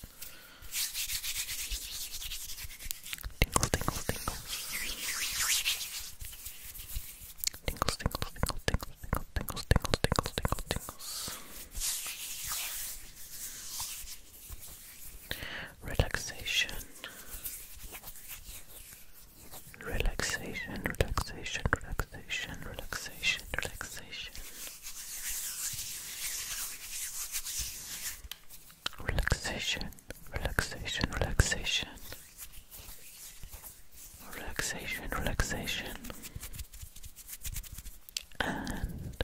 tingles. Tingles, tingles, tingles. Tingles, tingles, tingles, tingles, tingles, tingles, tingles, tingles, tingles, tingles. Relaxation. Relaxation, relaxation, relaxation, relaxation, relaxation. Relaxation, relaxation, relaxation. Relaxation, relaxation. And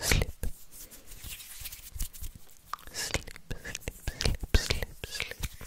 sleep. Sleep, sleep, sleep, sleep,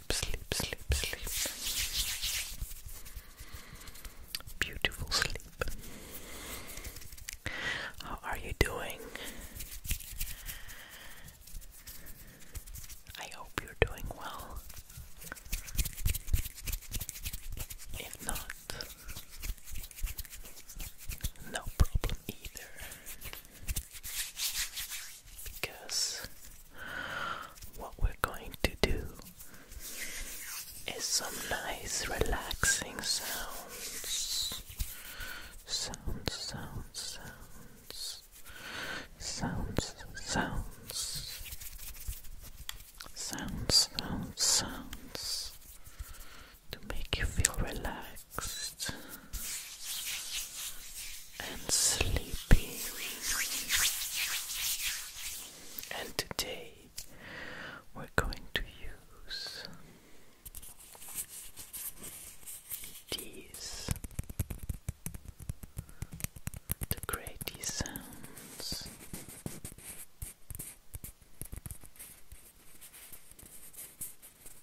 sleep, sleep, sleep, Beautiful sleep. How are you doing? I hope you're doing well. If not, no problem either because what we're going to do is some nice relaxing sounds sounds sounds sounds sounds sounds sounds sounds sounds to make you feel relaxed and sleepy. And today we're going to use these to create these sounds.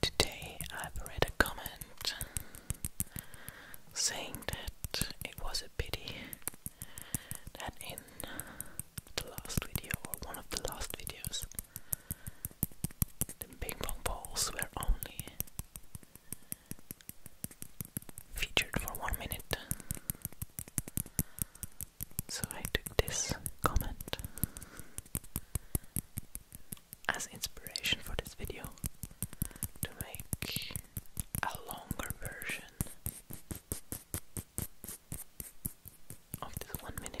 Today I've read a comment saying that it was a pity that in the last video or one of the last videos the ping pong balls were only featured for one minute. So I took this comment as inspiration for this video to make a longer version of this one minute.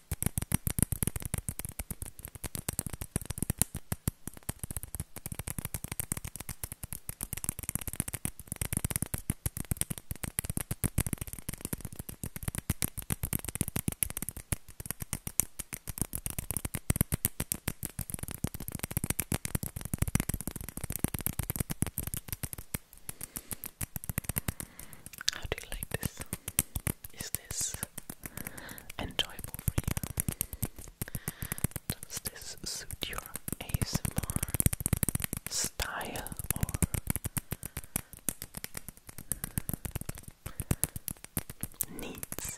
How do you like this? Is this enjoyable for you? Does this suit your ASMR style or needs?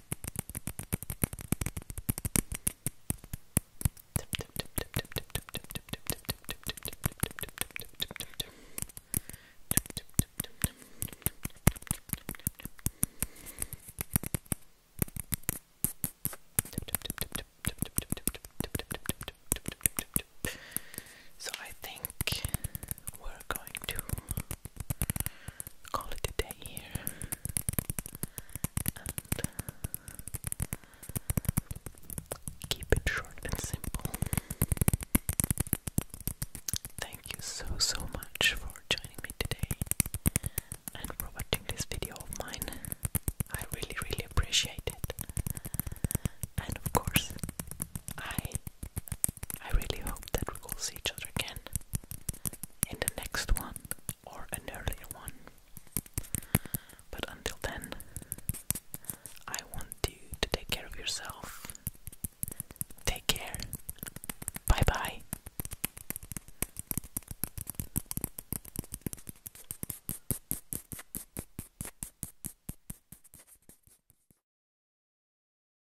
So I think we're going to call it a day here. keep it short and simple. Thank you so so much for joining me today and watching this video of mine. I really really appreciate it. And of course, I I really hope that we will see each other again in the next one or an earlier one. But until then, I want you to take care of yourself. Take care. Bye bye.